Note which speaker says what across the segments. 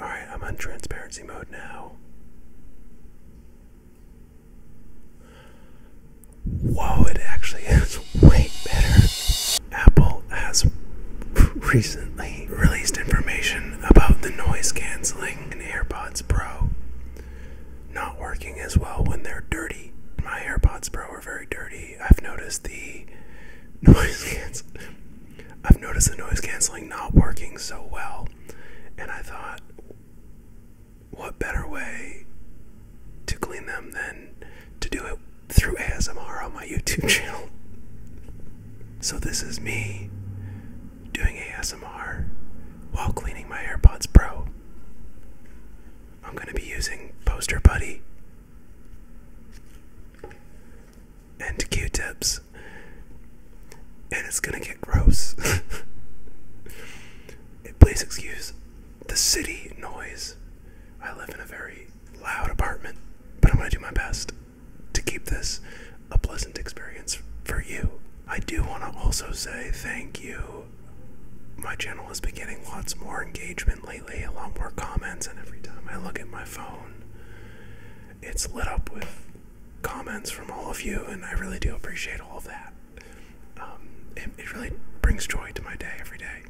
Speaker 1: Alright, I'm on transparency mode now. Whoa, it actually is way better. Apple has recently released information about the noise canceling in AirPods Pro not working as well when they're dirty. My AirPods Pro are very dirty. I've noticed the noise cancel I've noticed the noise canceling not working so well, and I thought, what better way to clean them than to do it through ASMR on my YouTube channel? So, this is me doing ASMR while cleaning my AirPods Pro. I'm going to be using Poster Buddy and Q tips. And it's gonna get gross. Please excuse the city noise. I live in a very loud apartment, but I'm gonna do my best to keep this a pleasant experience for you. I do wanna also say thank you. My channel has been getting lots more engagement lately, a lot more comments, and every time I look at my phone, it's lit up with comments from all of you, and I really do appreciate all of that. Um, it, it really brings joy to my day every day.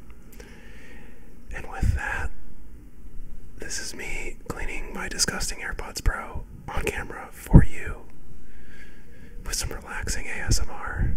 Speaker 1: And with that, this is me cleaning my disgusting AirPods Pro on camera for you with some relaxing ASMR.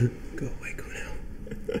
Speaker 1: go away, go now.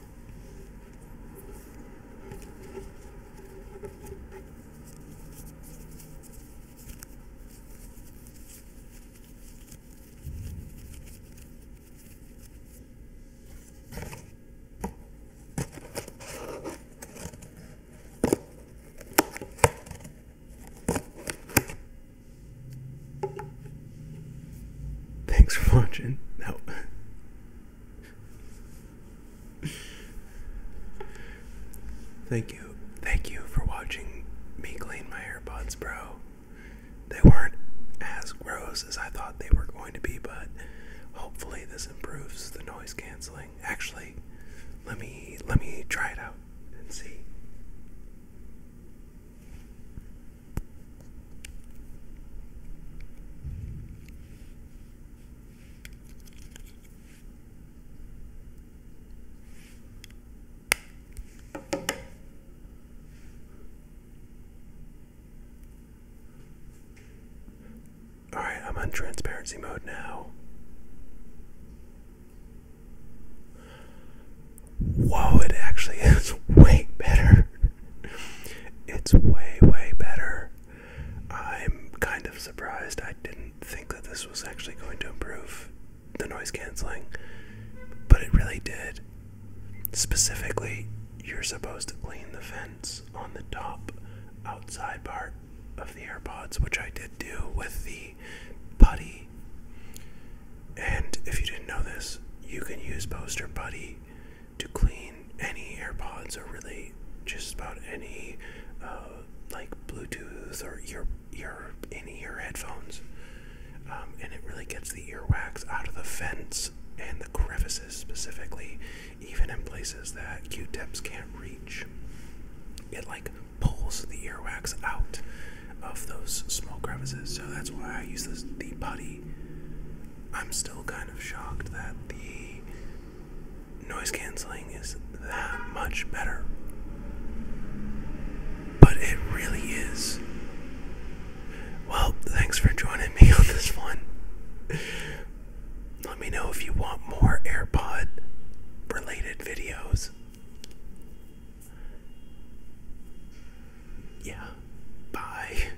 Speaker 1: Thanks for watching. No. Thank you. Thank you for watching me clean my AirPods, bro. They weren't as gross as I thought they were going to be, but hopefully this improves the noise canceling. Actually, let me let me try it out and see. All right, I'm on transparency mode now. Whoa, it actually is way better it's way, way better. I'm kind of surprised. I didn't think that this was actually going to improve the noise canceling, but it really did. Specifically, you're supposed to clean the vents on the top outside part of the AirPods, which I did do with the putty. And if you didn't know this, you can use poster putty to clean any AirPods or really just about any uh, like Bluetooth or ear ear in ear headphones, um, and it really gets the earwax out of the vents and the crevices specifically, even in places that Q-tips can't reach. It like pulls the earwax out of those small crevices, so that's why I use this the putty I'm still kind of shocked that the noise canceling is that much better. But it really is. Well, thanks for joining me on this one. Let me know if you want more AirPod related videos. Yeah. Bye.